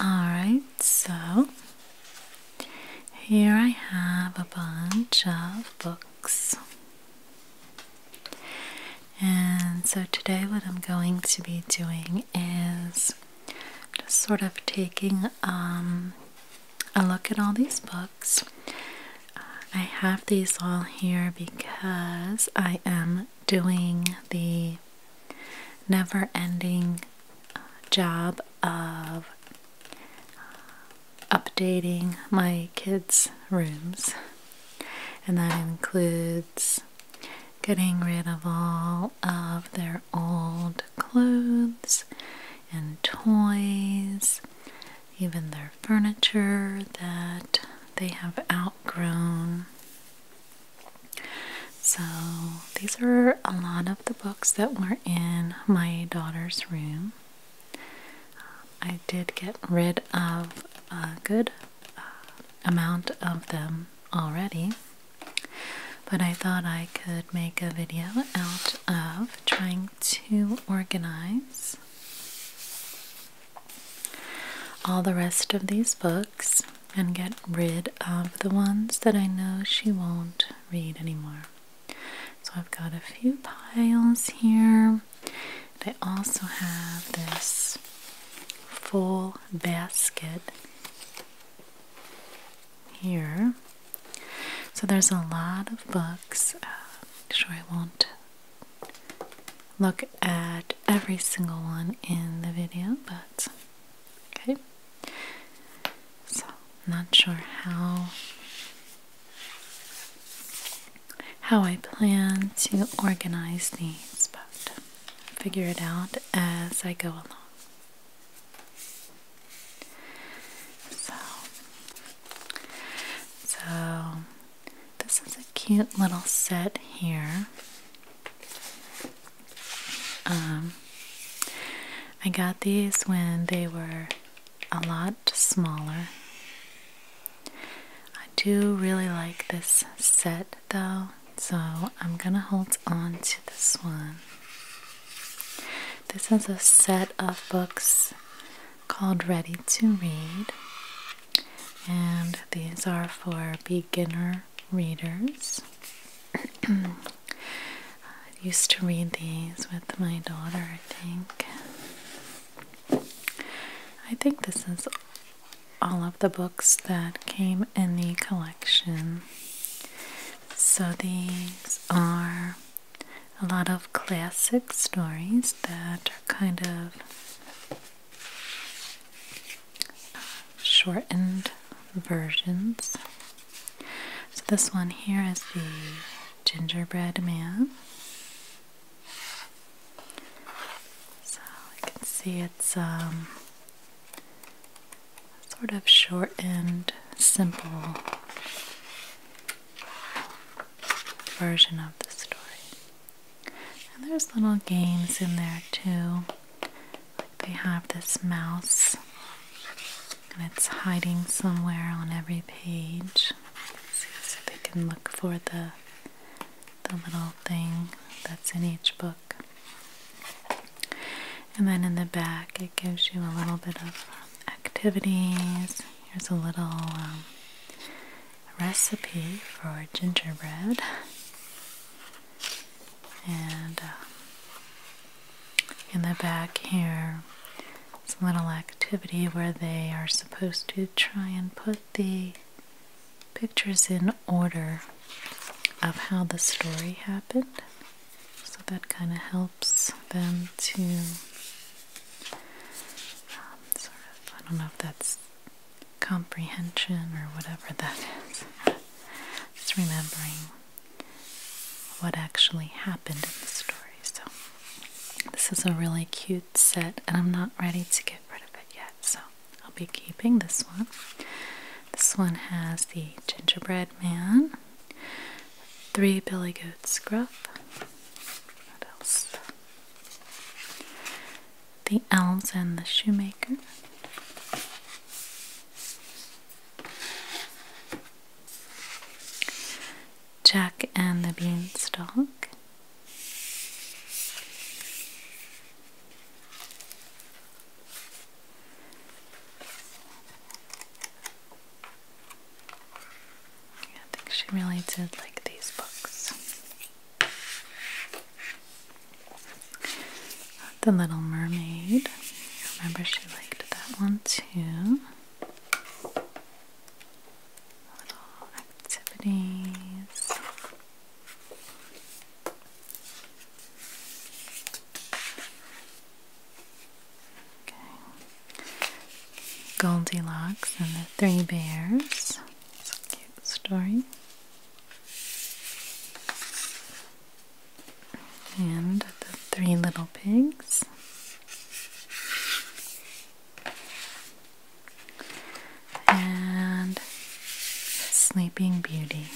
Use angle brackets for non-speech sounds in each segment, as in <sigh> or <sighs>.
Alright, so here I have a bunch of books. And so today, what I'm going to be doing is just sort of taking um, a look at all these books. I have these all here because I am doing the never ending uh, job of updating my kids' rooms, and that includes getting rid of all of their old clothes and toys, even their furniture that they have outgrown. So, these are a lot of the books that were in my daughter's room. I did get rid of a good uh, amount of them already, but I thought I could make a video out of trying to organize all the rest of these books and get rid of the ones that I know she won't read anymore. So I've got a few piles here. I also have this full basket here. So there's a lot of books. Uh, sure, I won't look at every single one in the video, but Okay, so not sure how how I plan to organize these, but figure it out as I go along. So, so this is a cute little set here. Um, I got these when they were a lot smaller. I do really like this set though, so I'm gonna hold on to this one. This is a set of books called Ready to Read, and these are for beginner readers. I used to read these with my daughter, I think. I think this is all of the books that came in the collection. So these are a lot of classic stories that are kind of shortened versions. So, this one here is the gingerbread man. So, you can see it's um, sort of shortened, simple version of the story. And there's little games in there too. Like they have this mouse and it's hiding somewhere on every page. So, so they can look for the the little thing that's in each book. And then in the back it gives you a little bit of activities. Here's a little um, recipe for gingerbread. And uh, in the back here, it's a little activity where they are supposed to try and put the pictures in order of how the story happened. So that kind of helps them to um, I don't know if that's comprehension or whatever that is. Just remembering what actually happened in the story. So, this is a really cute set, and I'm not ready to get rid of it yet. So, I'll be keeping this one. This one has the gingerbread man, three billy goats gruff. What else? The Elves and the Shoemaker. Jack and the Beanstalk. I think she really did like these books. The Little Mermaid. remember she liked that one too. Little activities. Okay. Goldilocks and the Three Bears. It's a cute story and the three little pigs. And Sleeping Beauty.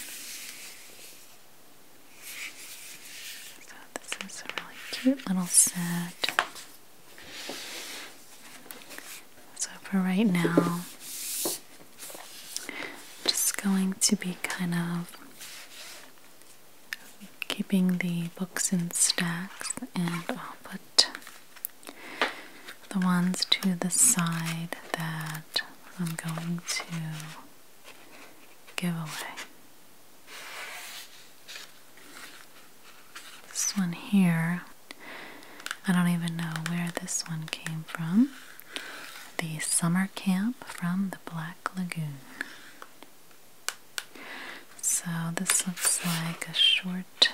So, this is a really cute little set. So, for right now, just going to be kind of keeping the books in stacks, and I'll put the ones to the side that I'm going to give away. This one here, I don't even know where this one came from. The Summer Camp from the Black Lagoon. So this looks like a short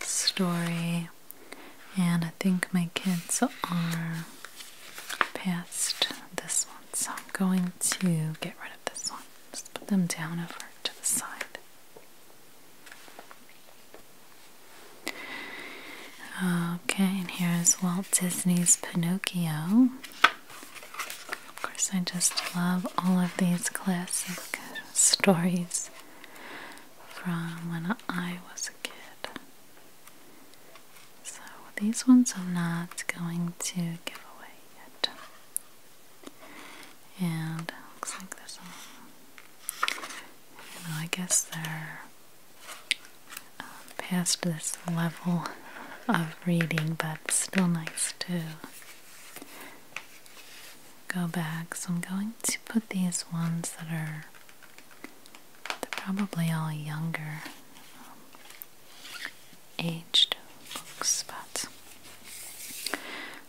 story, and I think my kids are past this one, so I'm going to get rid of this one. Just put them down over to the side. Okay, and here is Walt Disney's Pinocchio. Of course, I just love all of these classic stories from when I was a kid. So, these ones I'm not going to give away yet. And looks like there's I guess they're um, past this level of reading, but still nice to go back. So I'm going to put these ones that are probably all younger um, aged books, but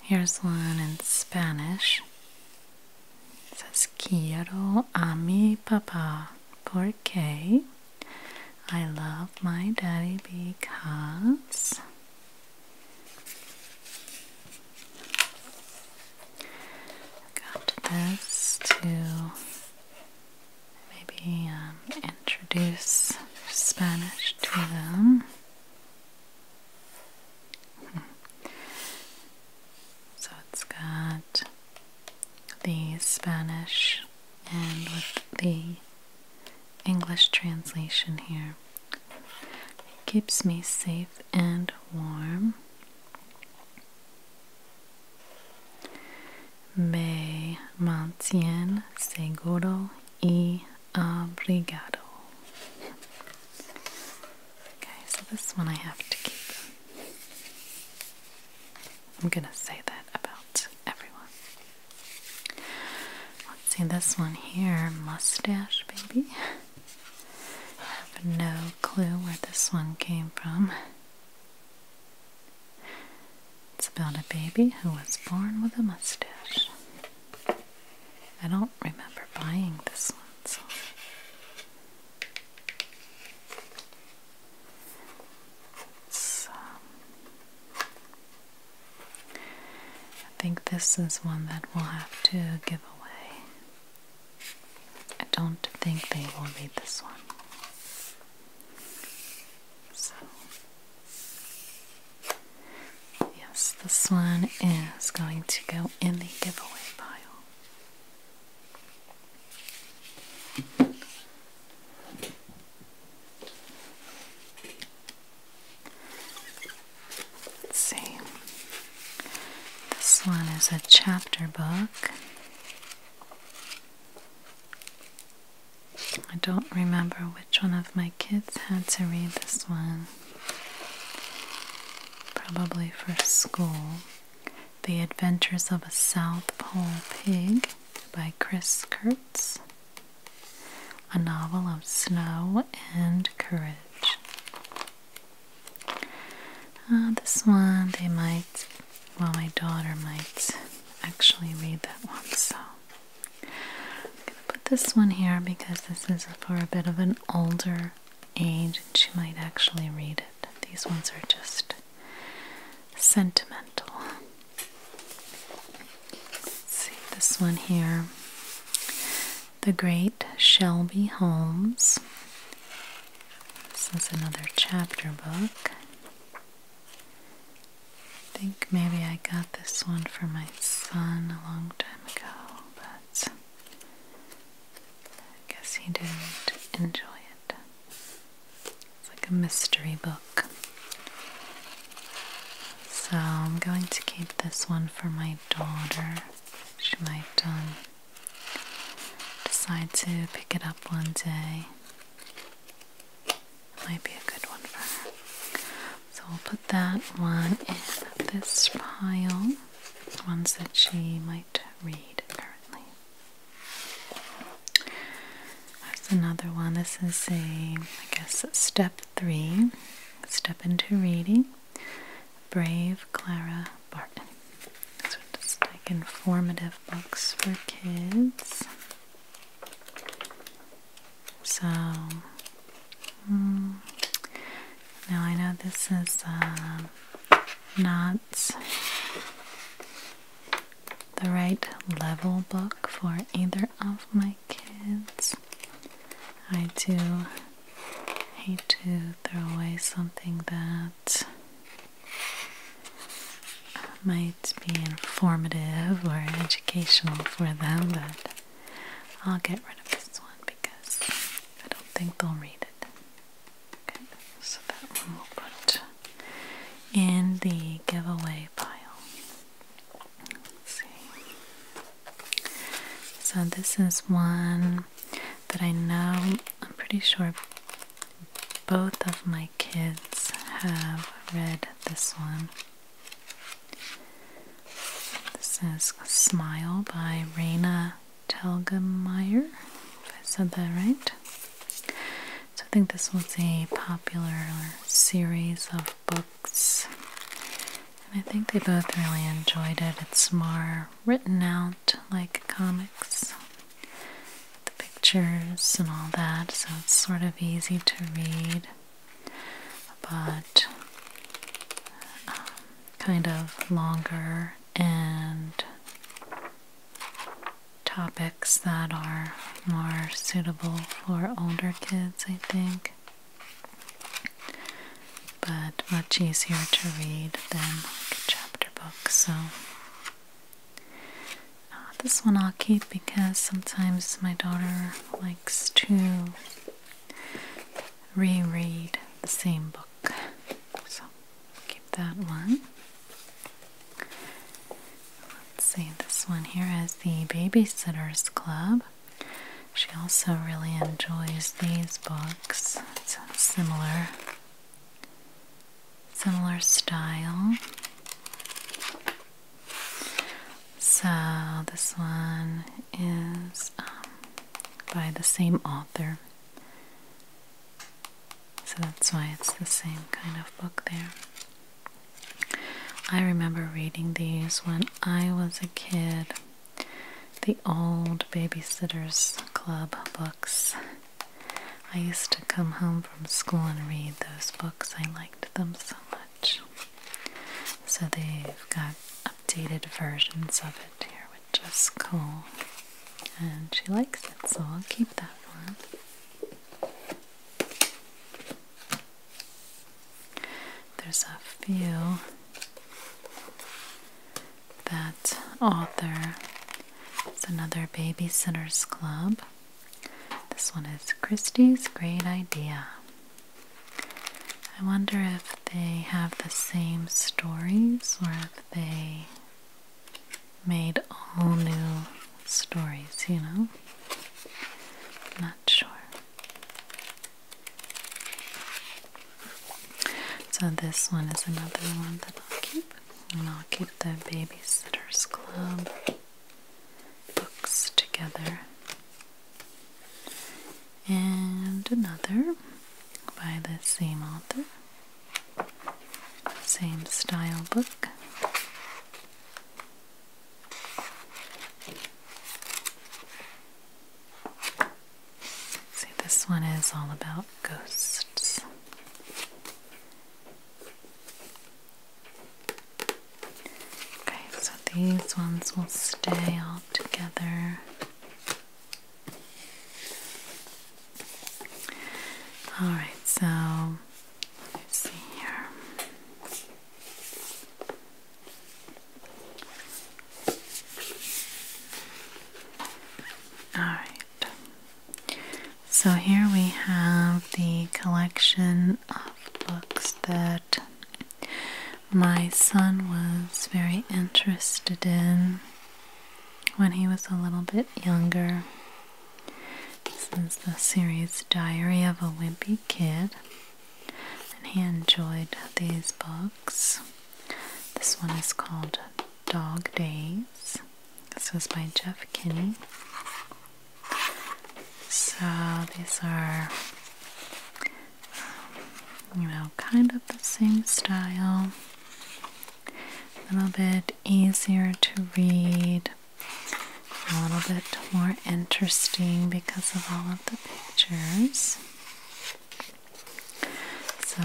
here's one in Spanish. Says quiero a mi papá porque I love my daddy because I've got this to maybe um, introduce Spanish to them. So it's got the Spanish and with the English translation here. Keeps me safe and warm. Me mantiene seguro y abrigado. Okay, so this one I have to keep. I'm gonna say that about everyone. Let's see this one here, mustache baby. I have no clue where this one came from. It's about a baby who was born with a mustache. I don't remember buying this one, so it's, I think this is one that we'll have to give away. I don't think they will read this one. So, yes, this one is going to go in the giveaway pile. Let's see. This one is a chapter book. I don't remember which one of my kids had to read this one. Probably for school. The Adventures of a South Pole Pig by Chris Kurtz. A novel of snow and courage. Uh, this one, they might, well, my daughter might actually read that one, so I'm going to put this one here because this is for a bit of an older and she might actually read it. These ones are just sentimental. see this one here. The Great Shelby Holmes. This is another chapter book. I think maybe I got this one for my son a long time ago, but I guess he did enjoy it. It's like a mystery book. So I'm going to keep this one for my daughter. She might um, decide to pick it up one day. might be a good one for her. So we'll put that one in this pile. Ones that she might read currently. That's another one. This is a, I guess, step three. Step into reading. Brave Clara Barton. These are just like informative books for kids. So, hmm, now I know this is um, not the right level book for either of my kids. I do hate to throw away something that might be informative or educational for them, but I'll get rid of this one because I don't think they'll read it. Okay, so that one we'll put in the giveaway pile. see. So this is one that I know, I'm pretty sure both of my kids have read this one. This is Smile by Raina Telgemeier, if I said that right. So I think this was a popular series of books, and I think they both really enjoyed it. It's more written out like comics, the pictures and all that, so it's sort of easy to read, but um, kind of longer and topics that are more suitable for older kids, I think, but much easier to read than chapter books. So, uh, this one I'll keep because sometimes my daughter likes to reread the same book. Keep that one. Let's see, this one here is the Babysitter's Club. She also really enjoys these books. similar, similar style. So this one is um, by the same author. So that's why it's the same kind of book there. I remember reading these when I was a kid. The old Babysitters Club books. I used to come home from school and read those books. I liked them so much. So they've got a Dated versions of it here, which is cool. And she likes it, so I'll keep that one. There's a few that author. It's another Babysitters Club. This one is Christie's Great Idea. I wonder if they have the same stories or they made all new stories, you know? not sure. So this one is another one that I'll keep. And I'll keep the Babysitters Club books together. And another by the same author. Same style book. See, this one is all about ghosts. Okay, so these ones will stay all together. All right, so let's see here. All right. So here we have the collection of books that my son was very interested in when he was a little bit younger. This is the series Diary of a Wimpy Kid, and he enjoyed these books. This one is called Dog Days. This was by Jeff Kinney. So these are, um, you know, kind of the same style a little bit easier to read, a little bit more interesting because of all of the pictures. So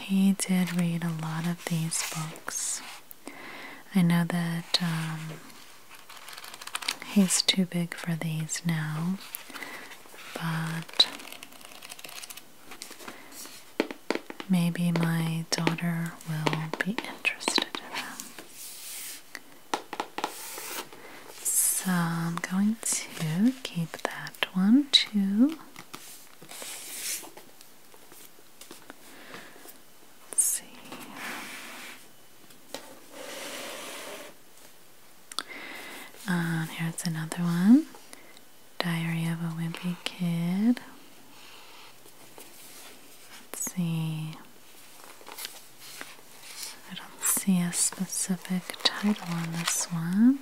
he did read a lot of these books. I know that um, he's too big for these now, but maybe my daughter will be interested in them. So I'm going to keep that one too. Let's see. And here's another one Diary of a Wimpy Kid. Let's see. I don't see a specific title on this one.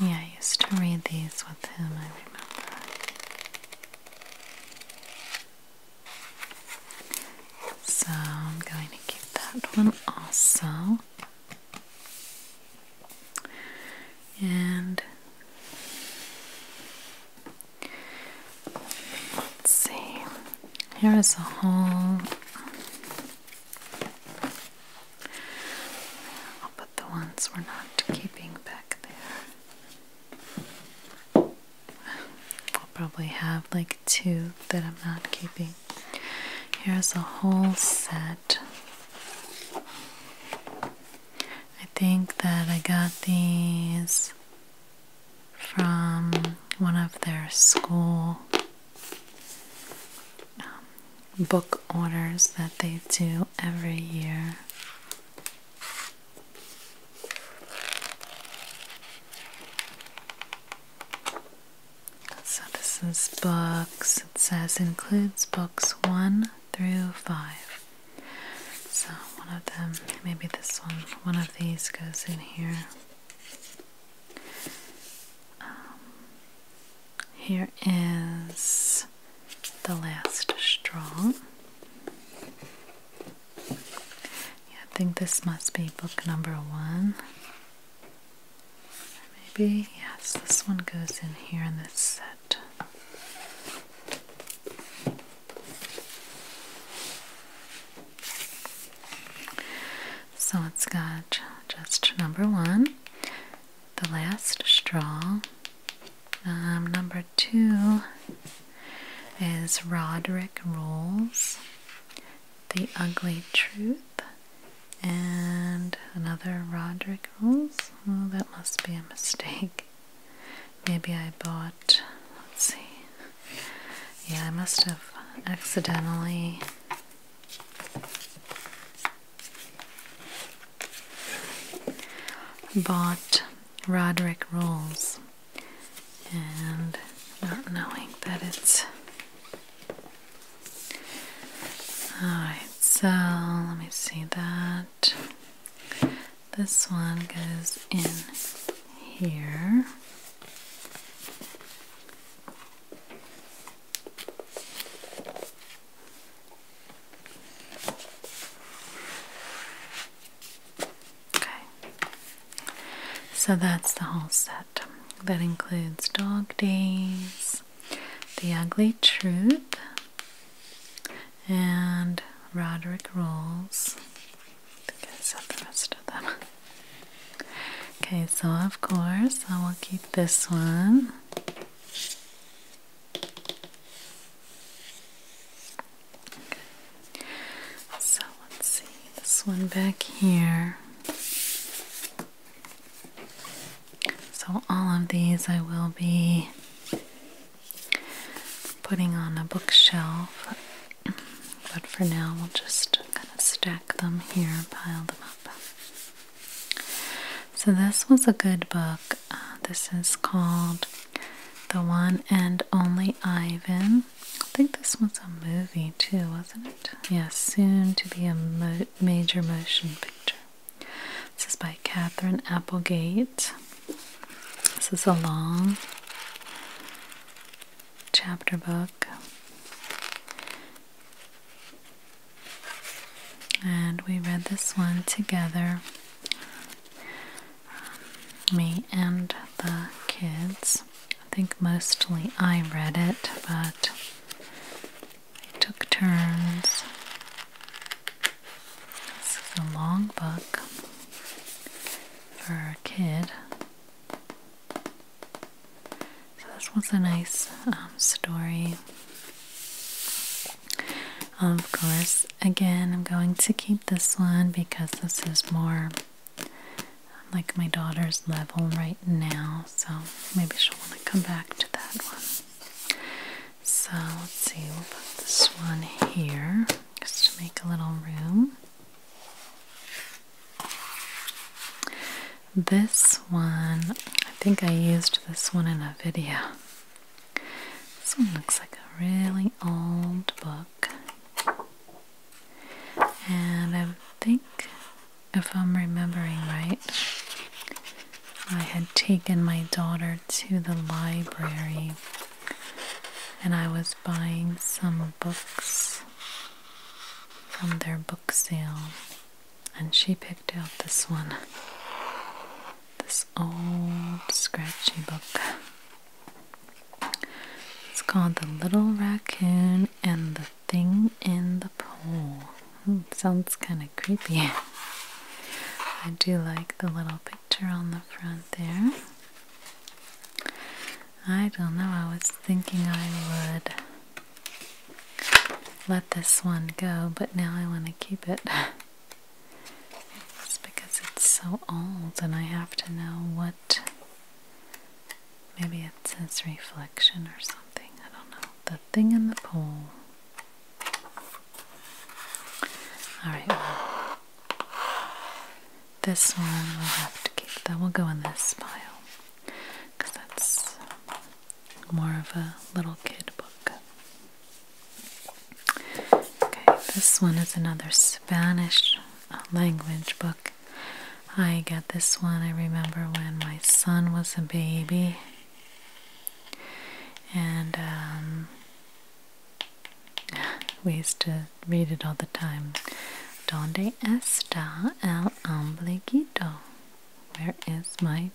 Yeah, I used to read these with him, I remember. So I'm going to keep that one also. And let's see, here is a hole the ones we're not keeping back there. I'll probably have like two that I'm not keeping. Here's a whole set. I think that I got these from one of their school um, book orders that they do every year. So this is books. It says includes books one through five. So one of them, maybe this one, one of these goes in here. Um, here is the last straw. I think this must be book number one. Maybe, yes, this one goes in here in this set. So it's got just number one, the last straw, um, number two is Roderick Rules, The Ugly Truth, and another Roderick Rules. Oh, that must be a mistake. Maybe I bought, let's see. Yeah, I must have accidentally bought Roderick rolls and not knowing that it's alright so let me see that this one goes in here Okay. So that's the whole set. That includes Dog Days, The Ugly Truth, and Roderick Rolls. Okay, so of course I will keep this one. So let's see this one back here. So, all of these I will be putting on a bookshelf, but for now we'll just kind of stack them here pile them up. So, this was a good book uh, this is called The One and Only Ivan. I think this was a movie too, wasn't it? Yes, soon to be a major motion picture. This is by Catherine Applegate. This is a long chapter book. And we read this one together me and the kids. I think mostly I read it, but I took turns. This is a long book for a kid. So, this was a nice um, story. Of course, again, I'm going to keep this one because this is more like my daughter's level right now, so maybe she'll want to come back to that one. So let's see, we'll put this one here just to make a little room. This one, I think I used this one in a video. This one looks like a really old book. And I think, if I'm remembering right, I had taken my daughter to the library and I was buying some books from their book sale. And she picked out this one this old scratchy book. It's called The Little Raccoon and the Thing in the Pool*. Hmm, sounds kind of creepy. <laughs> I do like the little picture on the front there. I don't know, I was thinking I would let this one go, but now I want to keep it. <laughs> It's because it's so old and I have to know what. Maybe it says reflection or something. I don't know. The thing in the pool. Alright, this one we'll have to keep. That will go in this pile because that's more of a little kid book. Okay, this one is another Spanish uh, language book. I got this one, I remember when my son was a baby. And um, <sighs> we used to read it all the time. Donde está el ombliguito? Where is my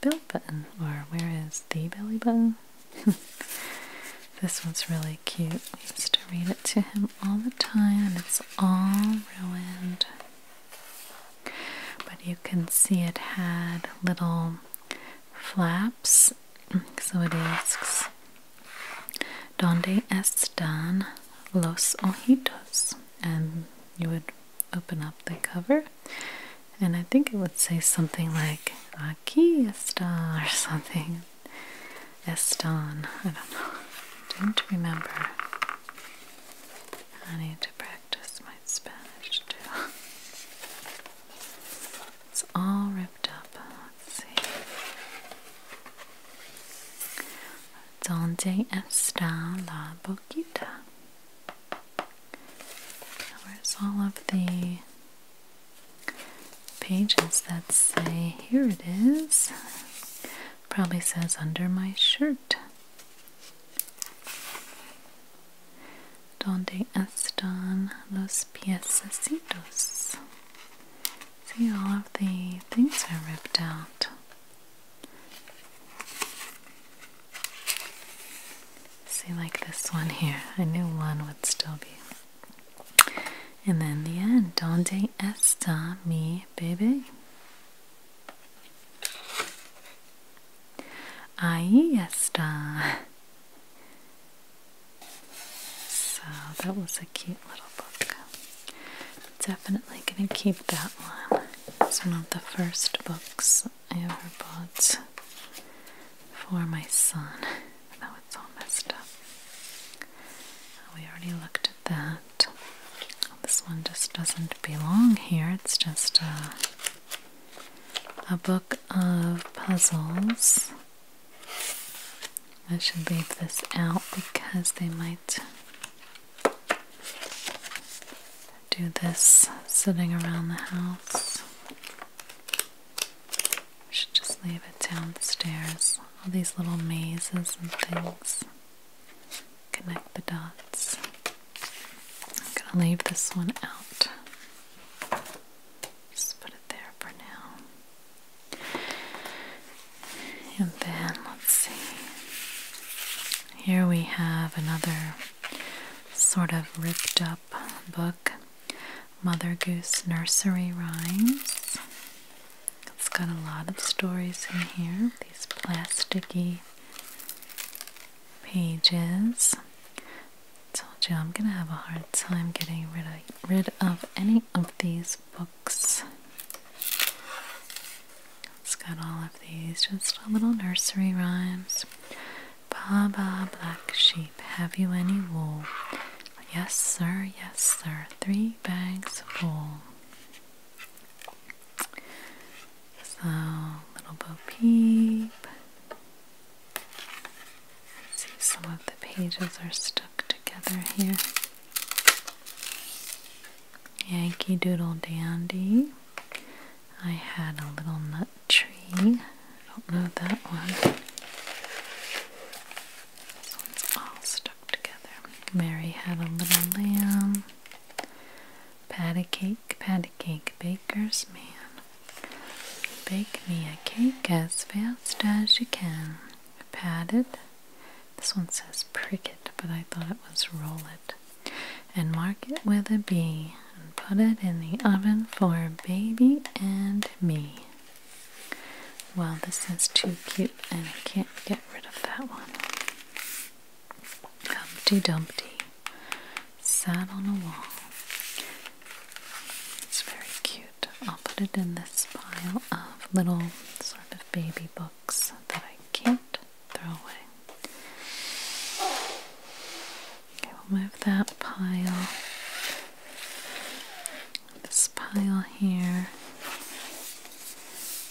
belly button? Or where is the belly button? <laughs> this one's really cute. I used to read it to him all the time. It's all ruined. But you can see it had little flaps. So it asks, Donde están los ojitos? And you would open up the cover, and I think it would say something like, Aquí está or something. Estan. I don't know. Don't remember. I need to practice my Spanish too. <laughs> It's all ripped up. Let's see. Donde está la boquita? Where's all of the pages that say, here it is. Probably says under my shirt. Donde están los piececitos? See, all of the things are ripped out. See, like this one here. I knew one would still be and then the end, Donde esta mi bebé? Ahí está. So that was a cute little book. Definitely gonna keep that one. It's one of the first books I ever bought for my son it's all messed up. We already looked at that. This one just doesn't belong here. It's just a, a book of puzzles. I should leave this out because they might do this sitting around the house. I should just leave it downstairs. All these little mazes and things. Connect the dots. I'm gonna leave this one out. Just put it there for now. And then let's see. Here we have another sort of ripped up book. Mother Goose Nursery Rhymes. It's got a lot of stories in here, these plasticky pages. Told you I'm gonna have a hard time getting rid of, rid of any of these books. It's got all of these, just a little nursery rhymes. Baa, baa, black sheep, have you any wool? Yes, sir, yes, sir, three bags full. So, little Bo Peep. See, some of the pages are stuck together here. Yankee Doodle Dandy. I had a little nut that tree. I don't know that one. This one's all stuck together. Mary had a little lamb. Patty cake, patty cake, baker's man. Bake me a cake as fast as you can. Pat it. This one says prick it, but I thought it was roll it. And mark it with a B and put it in the oven for baby and me. Well, this is too cute and I can't get rid of that one. Humpty Dumpty sat on a wall. It's very cute. I'll put it in this pile of little sort of baby books that I can't throw away. Okay, we'll move that pile, this pile here.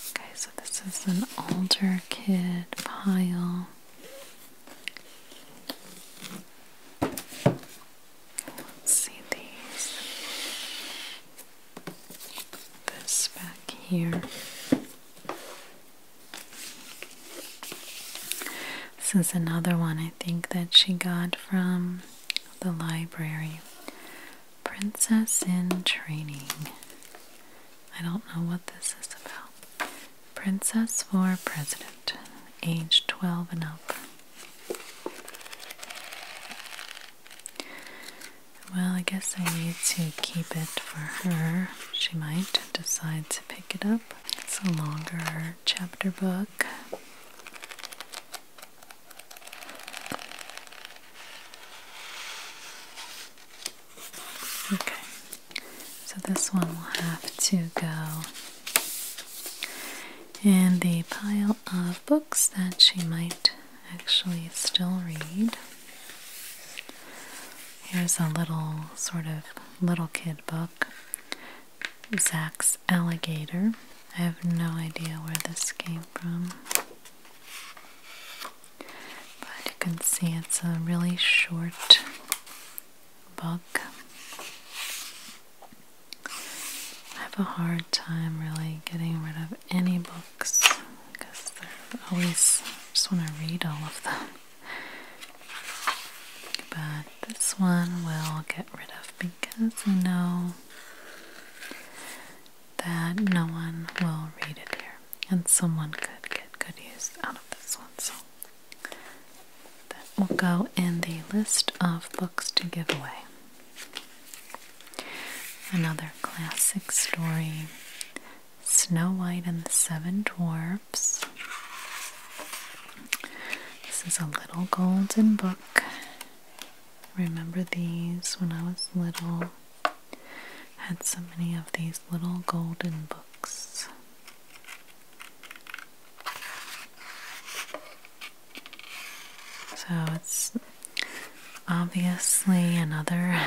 Okay, so this is an older kid pile. Let's see these. This back here. This is another one I think that she got from the library. Princess in Training. I don't know what this is about. Princess for President, age 12 and up. Well, I guess I need to keep it for her. She might decide to pick it up. It's a longer chapter book. Okay, so this one will have to go in the pile of books that she might actually still read. Here's a little sort of little kid book Zach's Alligator. I have no idea where this came from. But you can see it's a really short book. I have a hard time really getting rid of any books because they're always, just want to read all of them. But this one will get rid of because I know that no one will read it here, and someone could get good use out of this one. So that will go in the list of books to give away. Another classic story Snow White and the Seven Dwarfs. This is a little golden book. Remember these when I was little. Had so many of these little golden books. So it's obviously another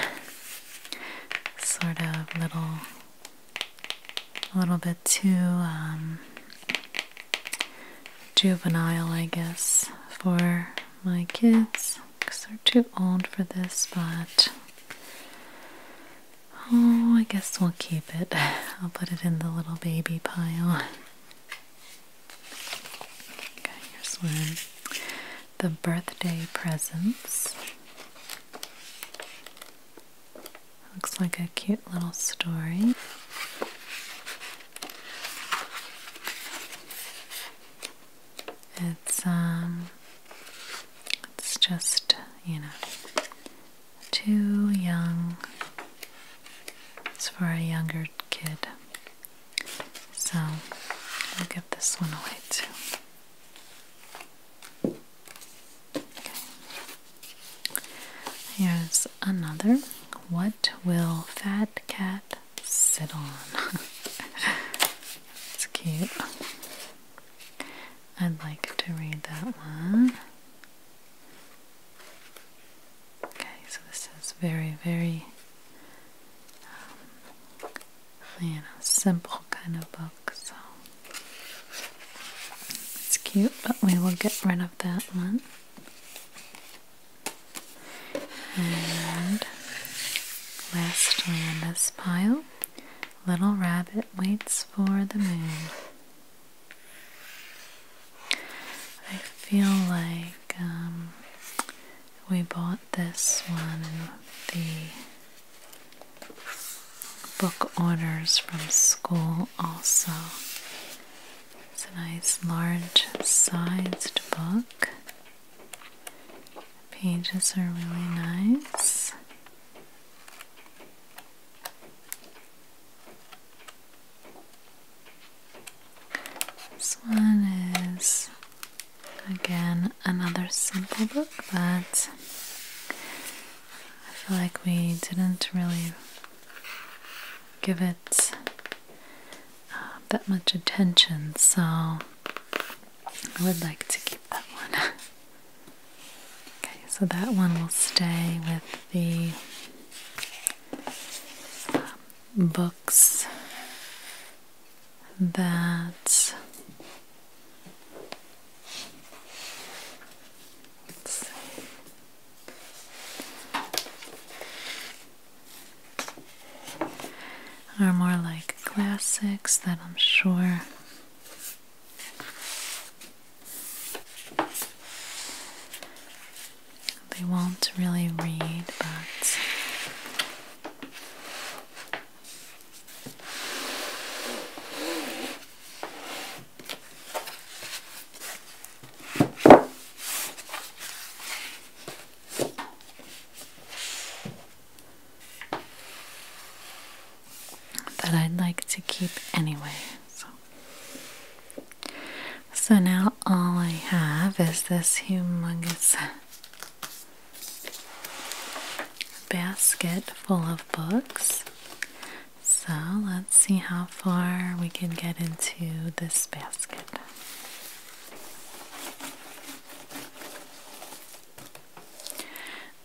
sort of little, a little bit too um, juvenile, I guess, for my kids because they're too old for this, but oh, I guess we'll keep it. <laughs> I'll put it in the little baby pile. Okay, here's one the birthday presents. Looks like a cute little story. It's um it's just, you know, too young. It's for a younger kid. So I'll give this one away too. Here's another. What will Fat Cat sit on? <laughs> it's cute. I'd like to read that one. Okay, so this is very, very um, you know, simple kind of book. So it's cute, but we will get rid of that one. And lastly, in this pile, Little Rabbit Waits for the Moon. I feel like um, we bought this one the book orders from school also it's a nice large sized book. pages are really nice. This one is again another simple book, but I feel like we didn't really give it um, that much attention, so I would like to keep that one. <laughs> okay, so that one will stay with the um, books that are more like classics that I'm sure they won't really read, but that I'd like to keep anyway. So. so now all I have is this humongous basket full of books. So let's see how far we can get into this basket.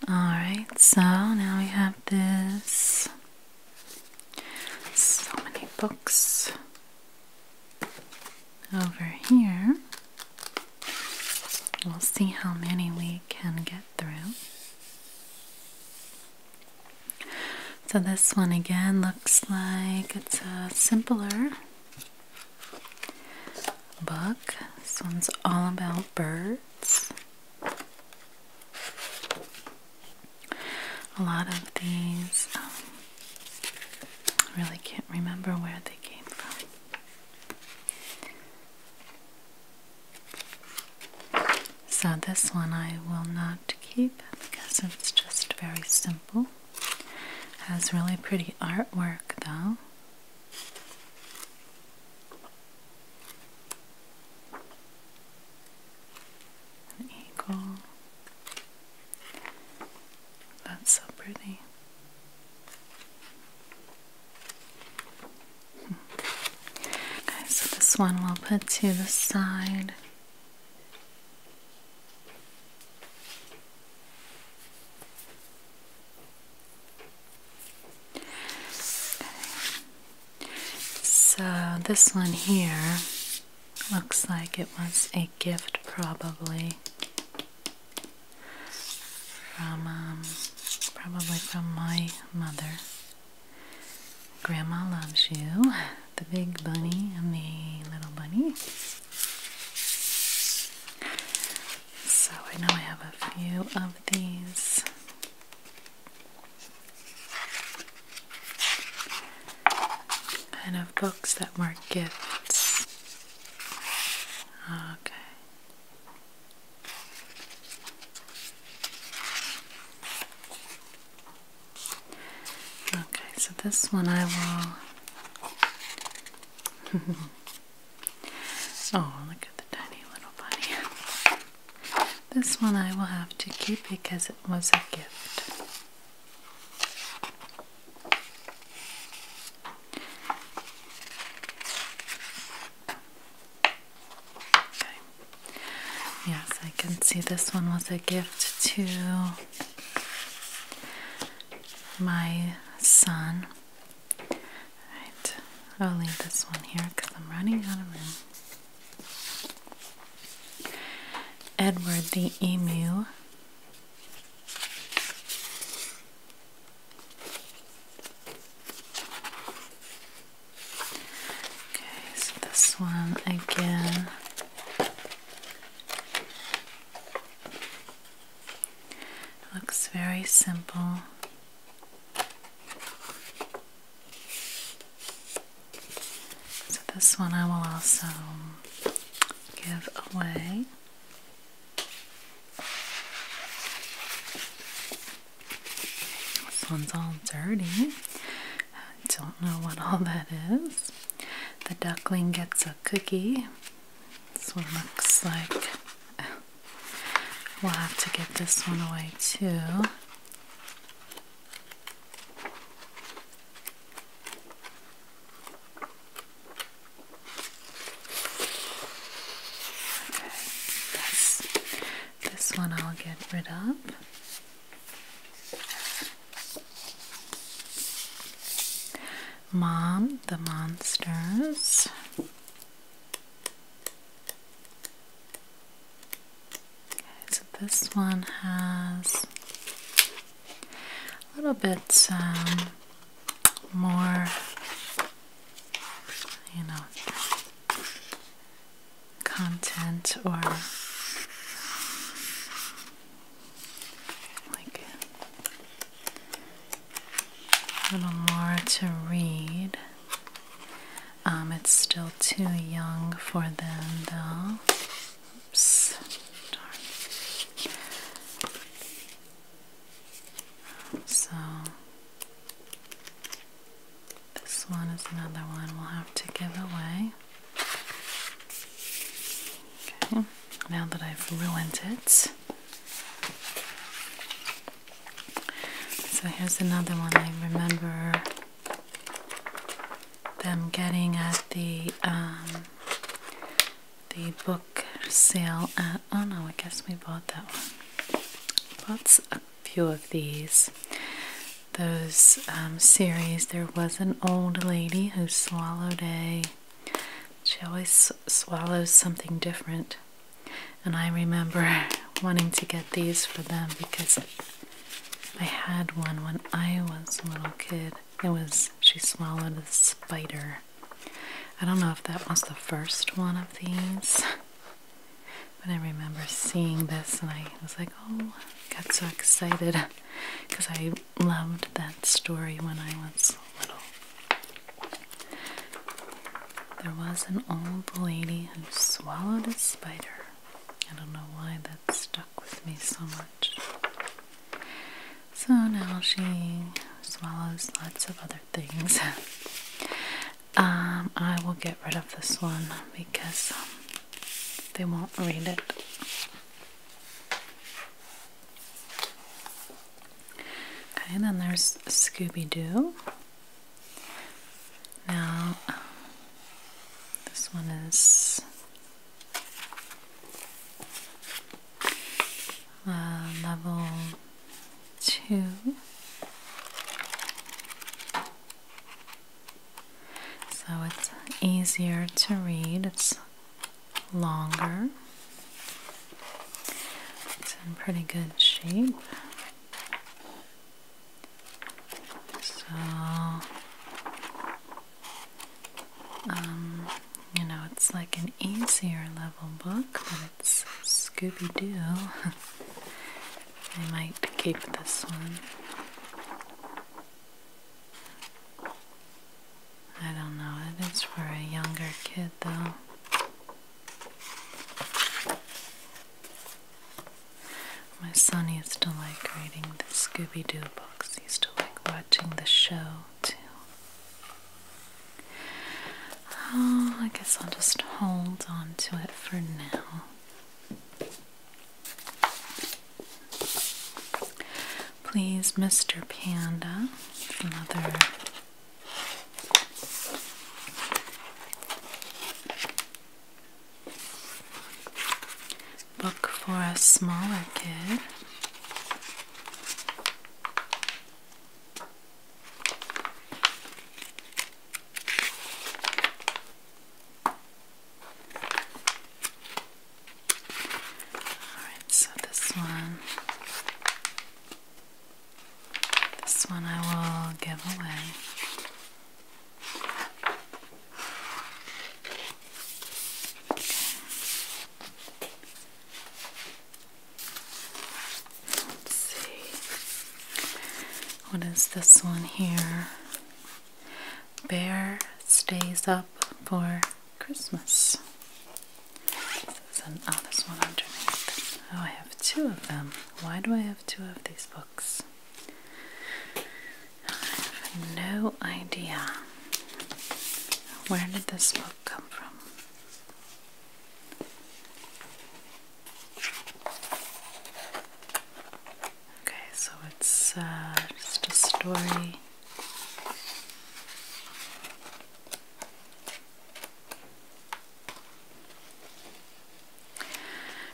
Alright, so now we have this. So many books over here. We'll see how many we can get through. So this one again looks like it's a simpler book. This one's all about birds. A lot of these, I um, really can't remember where they came from. So this one I will not keep because it's just very simple. Has really pretty artwork though. An eagle. That's so pretty. Hmm. Okay, so this one we'll put to the side. So this one here looks like it was a gift probably from um, probably from my mother. Grandma loves you. The big bunny and the little bunny. So I know I have a few of these. Kind of books that mark gifts. Okay. Okay, so this one I will. <laughs> oh, look at the tiny little bunny. This one I will have to keep because it was a gift. Okay. Yes, I can see this one was a gift to my son. Alright, I'll leave this one here because I'm running out of room. Edward the Emu. Okay, so this one again. Looks very simple. So, this one I will also give away. This one's all dirty. I don't know what all that is. The duckling gets a cookie. This one looks like we'll have to get this one away too. Okay, this, this one I'll get rid of. Mom, the monsters. Okay, so this one has a little bit um, more, you know, content or like a little more to read. Um, it's still too young for them, though. Oops, darn. So this one is another one we'll have to give away. Okay, now that I've ruined it. So here's another one I remember them getting at the um, the book sale at oh no I guess we bought that one. Bought a few of these those um, series, there was an old lady who swallowed a. She always swallows something different. And I remember <laughs> wanting to get these for them because I had one when I was a little kid. It was, she swallowed a spider. I don't know if that was the first one of these, but I remember seeing this and I was like, Oh, I got so excited because I loved that story when I was little. There was an old lady who swallowed a spider. I don't know why that stuck with me so much. So now she swallows lots of other things. <laughs> Um, I will get rid of this one because um, they won't read it. Okay, then there's Scooby Doo. Now, this one is uh, level two so it's easier to read, it's longer, it's in pretty good shape. So, um, you know, it's like an easier level book, but it's Scooby Doo. <laughs> I might keep this one. I don't know, it is for a younger kid though. My son used to like reading the Scooby Doo books, he used to like watching the show too. Oh, I guess I'll just hold on to it for now. Please, Mr. Panda, another book for a smaller kid. Alright, so this one, this one I will give away. Let's see. What is this one here? Bear stays up for Christmas. oh, this one underneath. Oh, I have two of them. Why do I have two of these books? I have no idea. Where did this book come from? Okay, so it's uh, just a story.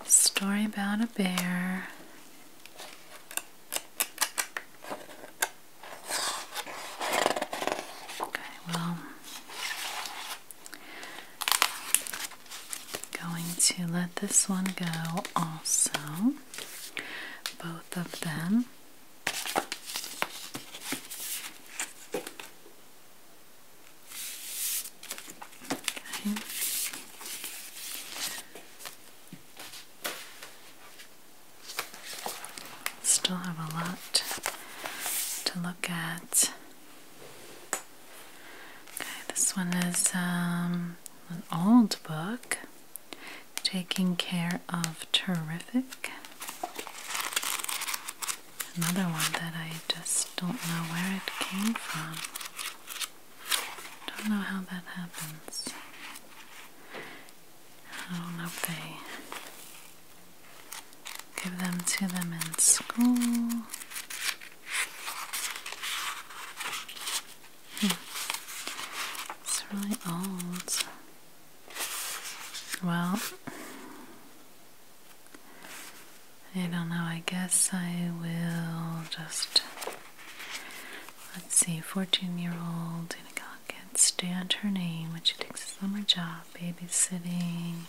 Story about a bear. Okay, well, going to let this one go also both of them. Still have a lot to look at. Okay, this one is um, an old book, Taking Care of Terrific. Another one that I just don't know where it came from. Don't know how that happens. I don't know if they give them to them in school. It's really old. Well, I don't know. I guess I will just. Let's see, 14 year old Danica Hawkins stand her name when she takes a summer job babysitting.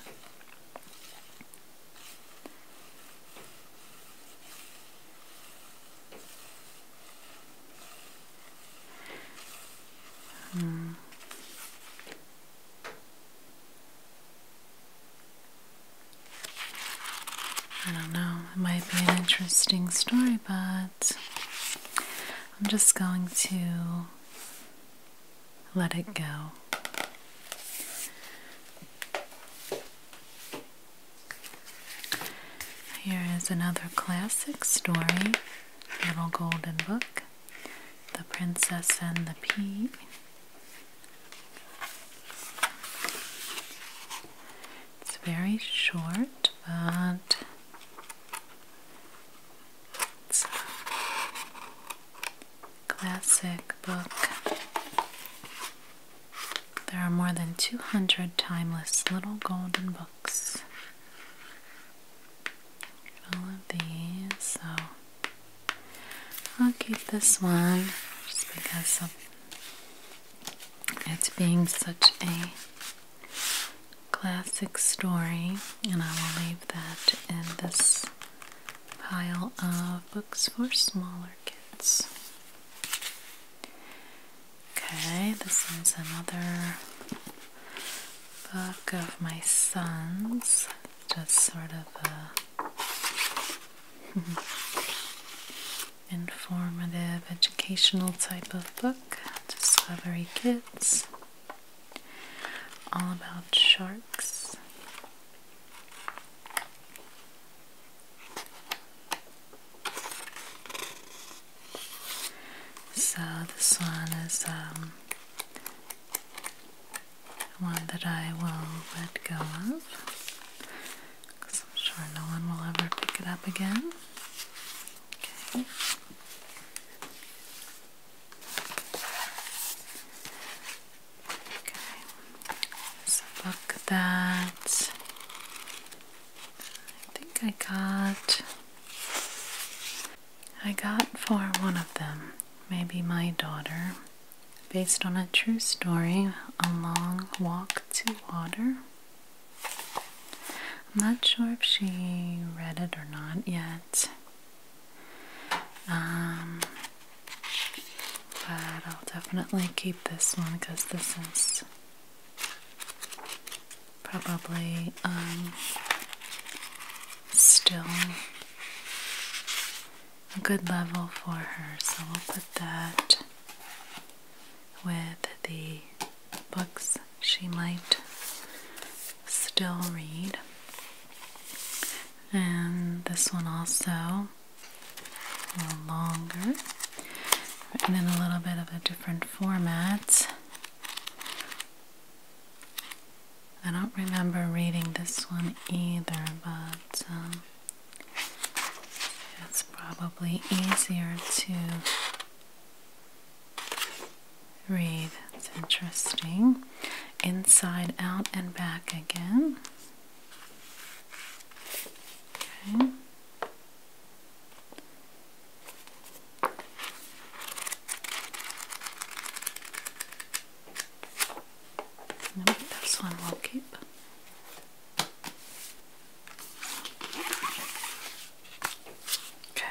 Hmm. I don't know, it might be an interesting story, but I'm just going to let it go. Here is another classic story, Little Golden Book, The Princess and the Pea. It's very short, but it's a classic book. There are more than 200 timeless little golden books. All of these, so I'll keep this one just because of it's being such a classic story, and I will leave that in this pile of books for smaller kids. Okay, this is another book of my son's. Just sort of a <laughs> informative, educational type of book. Discovery Kids. All about sharks. So this one is um, one that I will let go of because I'm sure no one will ever pick it up again. Okay. Okay. book that I think I got I got for one of them, maybe my daughter, based on a true story, a long walk to water. I'm not sure if she read it or not yet. Um, but I'll definitely keep this one because this is probably um, still a good level for her. So we'll put that with the books she might still read. And this one also longer, and in a little bit of a different format. I don't remember reading this one either, but um, it's probably easier to read. It's interesting. Inside out and back again. Okay this one we'll keep. Okay,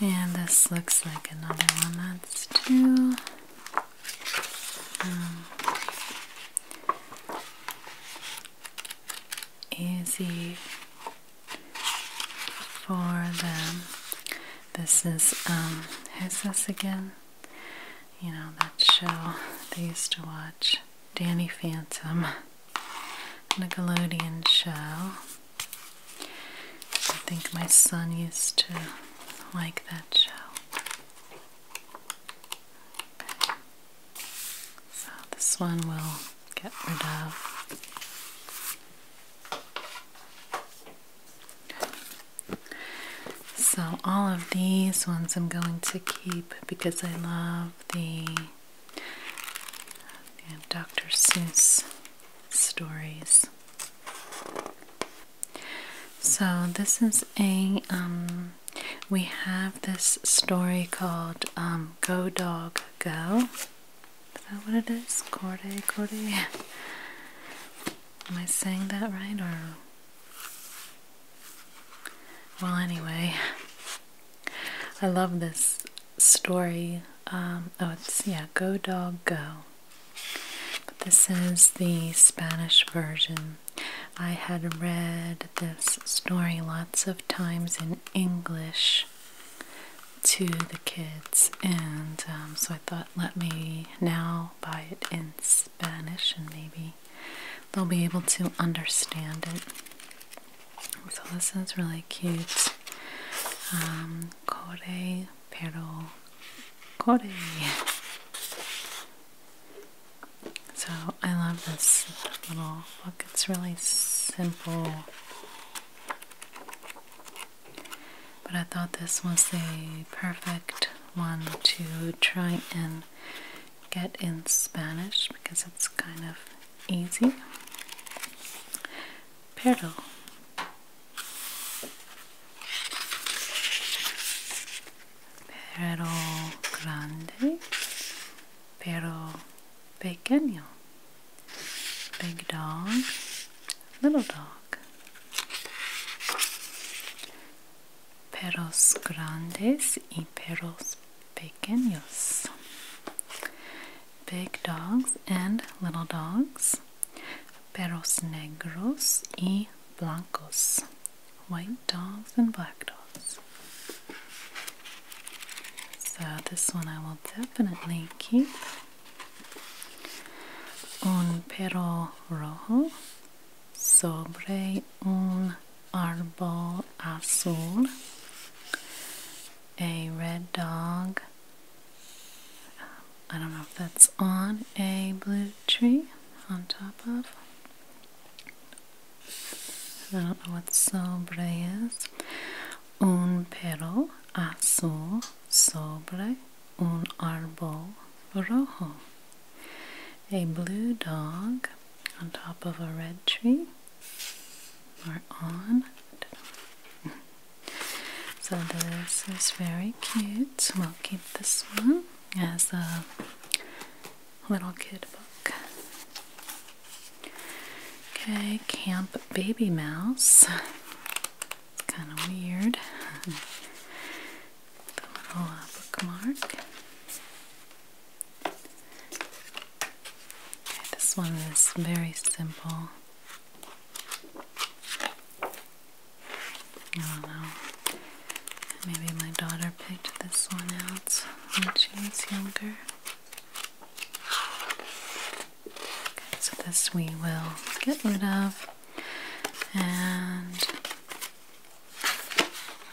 and this looks like another one that's two. Um, easy for them. This is, um, who's this again? You know, that show they used to watch. Danny Phantom. Nickelodeon show. I think my son used to like that show. So this one will get rid of. So all of these ones I'm going to keep because I love the, Dr. Seuss stories. So this is a um, we have this story called um, Go Dog Go. Is that what it is? Corday, Corday? Am I saying that right or? Well, anyway, I love this story. Um, oh, it's, yeah, Go Dog Go. But this is the Spanish version. I had read this story lots of times in English to the kids, and um, so I thought, let me now buy it in Spanish, and maybe they'll be able to understand it. So this is really cute. Um, pero Kore. So I love this little book. It's really simple. But I thought this was the perfect one to try and get in Spanish because it's kind of easy. Pero. Perro grande, pero pequeño. Big dog, little dog. Perros grandes y perros pequeños. Big dogs and little dogs. Perros negros y blancos. white dogs and black dogs. So this one I will definitely keep. Un perro rojo sobre un árbol azul. A red dog. I don't know if that's on a blue tree, on top of, I don't know what sobre is. Un perro azul sobre un árbol rojo. A blue dog on top of a red tree. Or on. So this is very cute. We'll keep this one as a little kid book. Okay, Camp Baby Mouse. It's kind of weird. <laughs> the little uh, bookmark. Okay, this one is very simple. I don't know. Maybe my daughter picked this one out when she was younger. Okay, so this we will get rid of and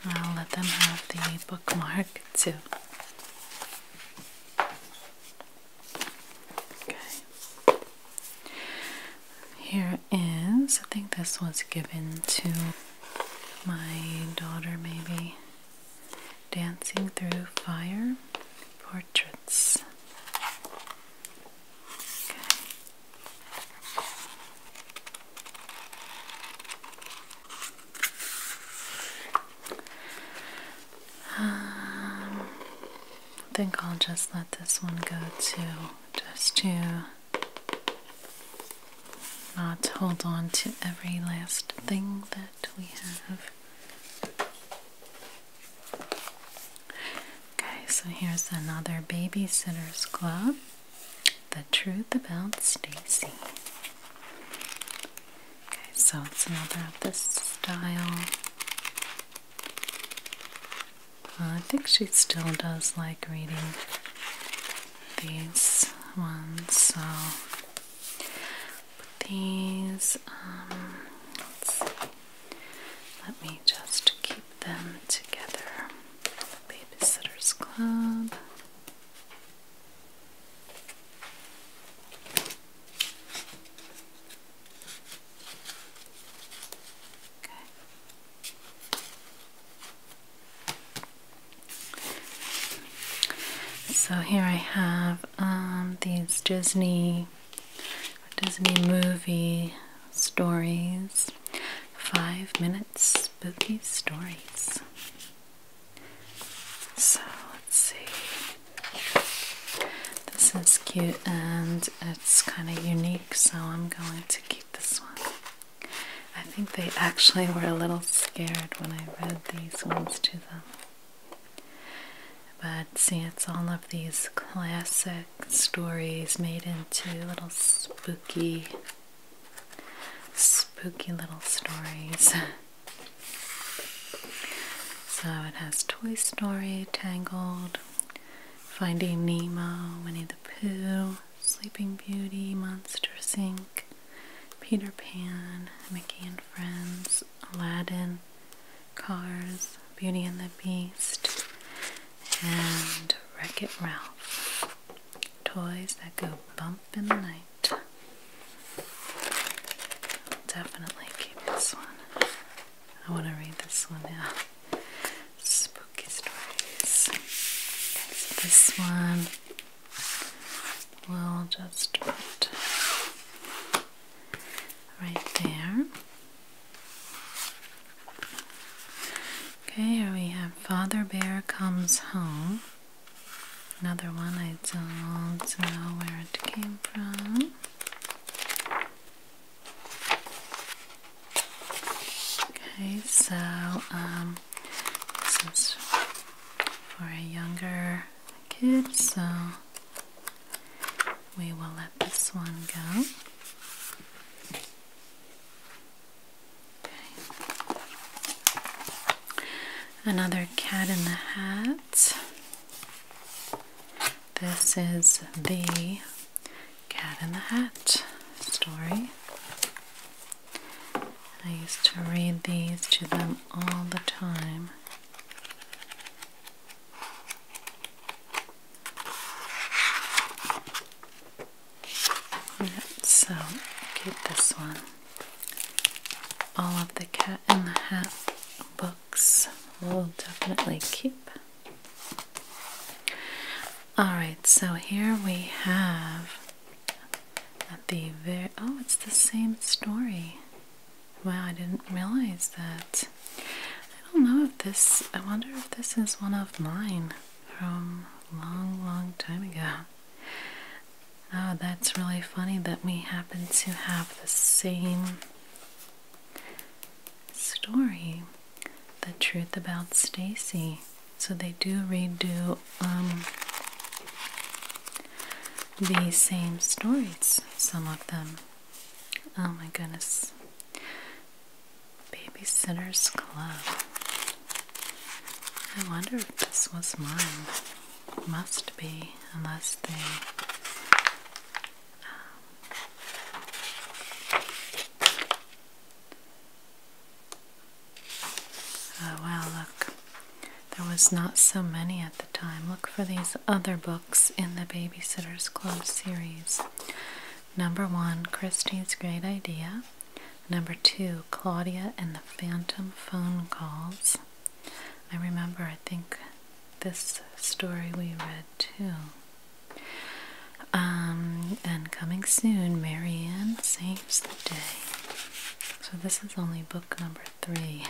I'll let them have the bookmark too. Okay. Here is, I think this was given to my daughter maybe dancing through fire portraits um, I think I'll just let this one go too, just to not hold on to every last thing that we have. Okay, so here's another Babysitter's Club The Truth About Stacy. Okay, so it's another of this style. I think she still does like reading these ones. So these, um, let me just keep them together. Babysitter's Club. Okay. So here I have um, these Disney Disney movie stories. Five minutes spooky stories. So let's see. This is cute and it's kind of unique, so I'm going to keep this one. I think they actually were a little scared when I read these ones to them. But see, it's all of these classic stories made into little spooky, spooky little stories. <laughs> So it has Toy Story, Tangled, Finding Nemo, Winnie the Pooh, Sleeping Beauty, Monster Inc., Peter Pan, Mickey and Friends, Aladdin, Cars, Beauty and the Beast, and Wreck It Ralph. Toys that go bump in the night. Definitely keep this one. I want to read this one now. Spooky stories. this one we'll just put right there. Okay, here we have Father Bear Comes Home. Another one I don't know where it came from. Okay, so um, this is for a younger kid, so we will let this one go. Okay. Another cat in the hat. This is the Cat in the Hat story. I used to read these to them all the time. Yep, so keep this one. All of the Cat in the Hat books we'll definitely keep. Alright, so here we have at the very oh it's the same story wow I didn't realize that I don't know if this I wonder if this is one of mine from long long time ago oh that's really funny that we happen to have the same story the truth about Stacy so they do redo um, the same stories, some of them. Oh my goodness. Babysitter's Club. I wonder if this was mine. Must be, unless they. Um, Oh wow, look. There was not so many at the time. Look for these other books in the Babysitter's Club series. Number one, Christie's Great Idea. Number two, Claudia and the Phantom Phone Calls. I remember, I think this story we read too. Um, and coming soon, Marianne St saves So this is only book number three.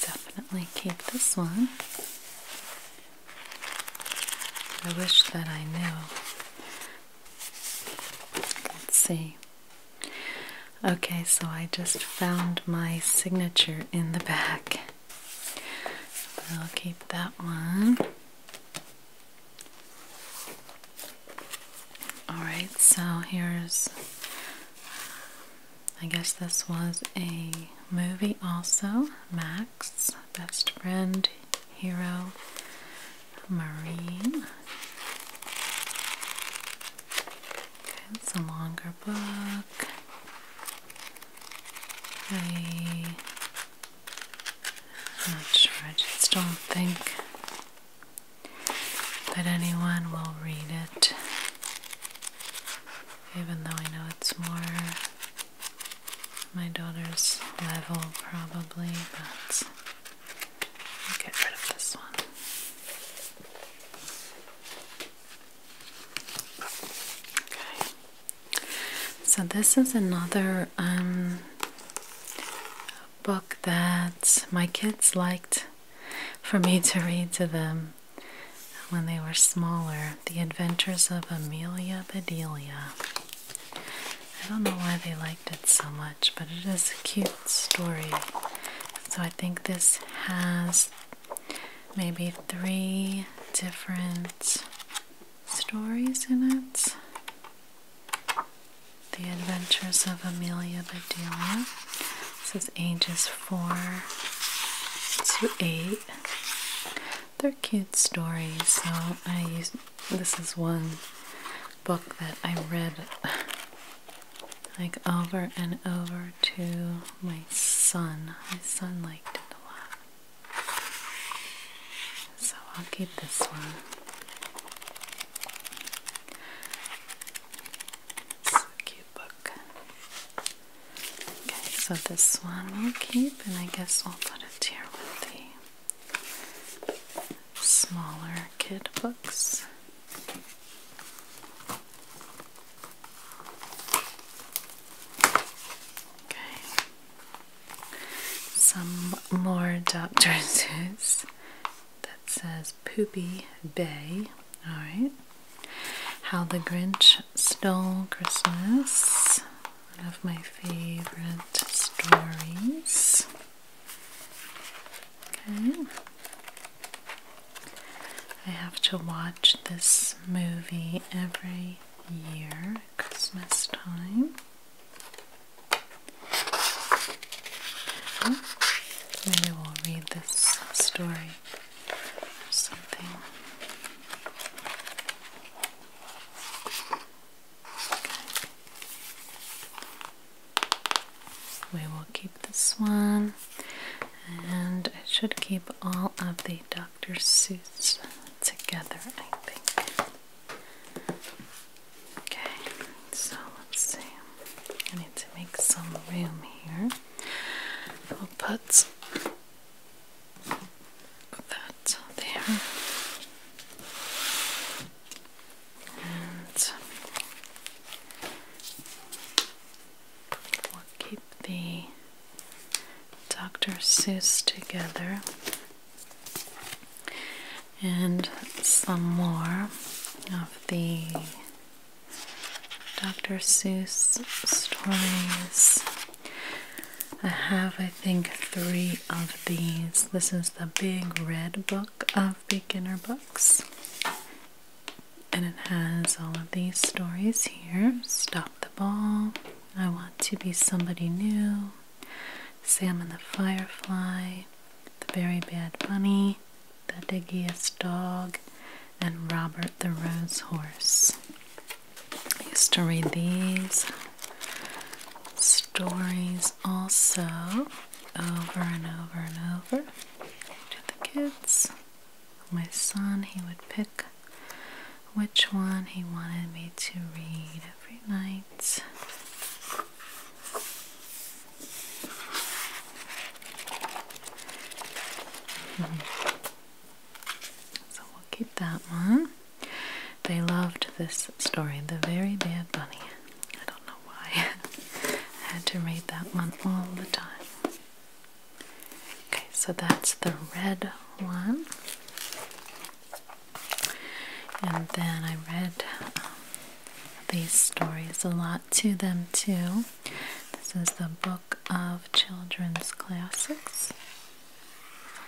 Definitely keep this one. I wish that I knew. Let's see. Okay, so I just found my signature in the back. I'll keep that one. Alright, so here's. I guess this was a movie also. Max, best friend, hero, marine. Okay, it's a longer book. They I'm not sure, I just don't think that anyone will read it, even though I know it's more my daughter's level, probably, but get rid of this one. Okay. So this is another um, a book that my kids liked for me to read to them when they were smaller The Adventures of Amelia Bedelia. I don't know why they liked it so much, but it is a cute story. So I think this has maybe three different stories in it. The Adventures of Amelia Bedelia. This is ages 4 to 8. They're kid stories, so I use this is one book that I read like over and over to my son. My son liked it a lot so I'll keep this one. It's cute book. Okay, so this one we'll keep, and I guess we'll put it here with the smaller kid books. Okay some more Dr. Seuss <laughs> that says Poopy Bay. Alright. How the Grinch Stole Christmas. One of my favorite stories. Okay. I have to watch this movie every year, Christmas time. Hmm? Maybe we'll read this story or something. We will keep this one, and I should keep all of the Dr. suits together, I think. Okay, so let's see. I need to make some room here. We'll put that there. And we'll keep the Dr. Seuss together and some more of the Dr. Seuss stories. I have, I think, three of these. This is the big red book of beginner books. And it has all of these stories here Stop the Ball, I Want to Be Somebody New, Salmon the Firefly, The Very Bad Bunny, The Diggiest Dog, and Robert the Rose Horse. I used to read these stories also over and over and over to the kids. My son, he would pick which one he wanted me to read every night. Mm-hmm. So we'll keep that one. They loved this story, The Very Bad Bunny. I don't know why. <laughs> I had to read that one all the time. Okay, so that's the red one. And then I read um, these stories a lot to them too. This is the Book of Children's Classics.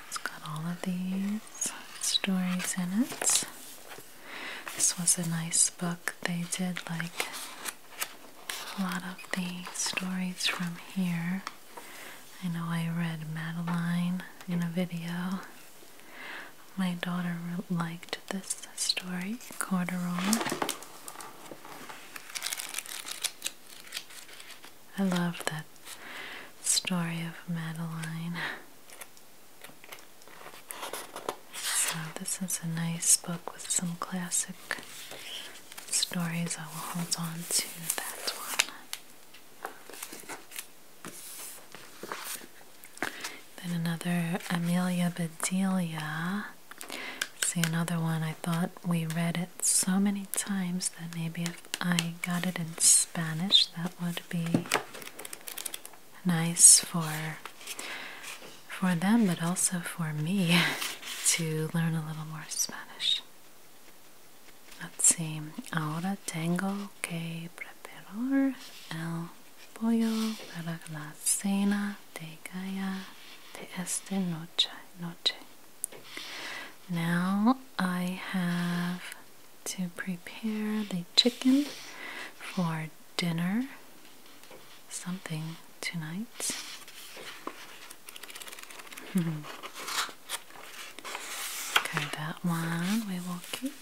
It's got all of these stories in it. This was a nice book. They did like a lot of the stories from here. I know I read Madeline in a video. My daughter liked this story, Corduroy. I love that story of Madeline. So, this is a nice book with some classic stories. I will hold on to that one. Then another Amelia Bedelia. See another one. I thought we read it so many times that maybe if I got it in Spanish, that would be nice for for them, but also for me <laughs> to learn a little more Spanish. Let's see. Ahora tengo que Peror el pollo para la cena de esta noche. noche. Now I have to prepare the chicken for dinner, something tonight. <laughs> okay, that one we will keep.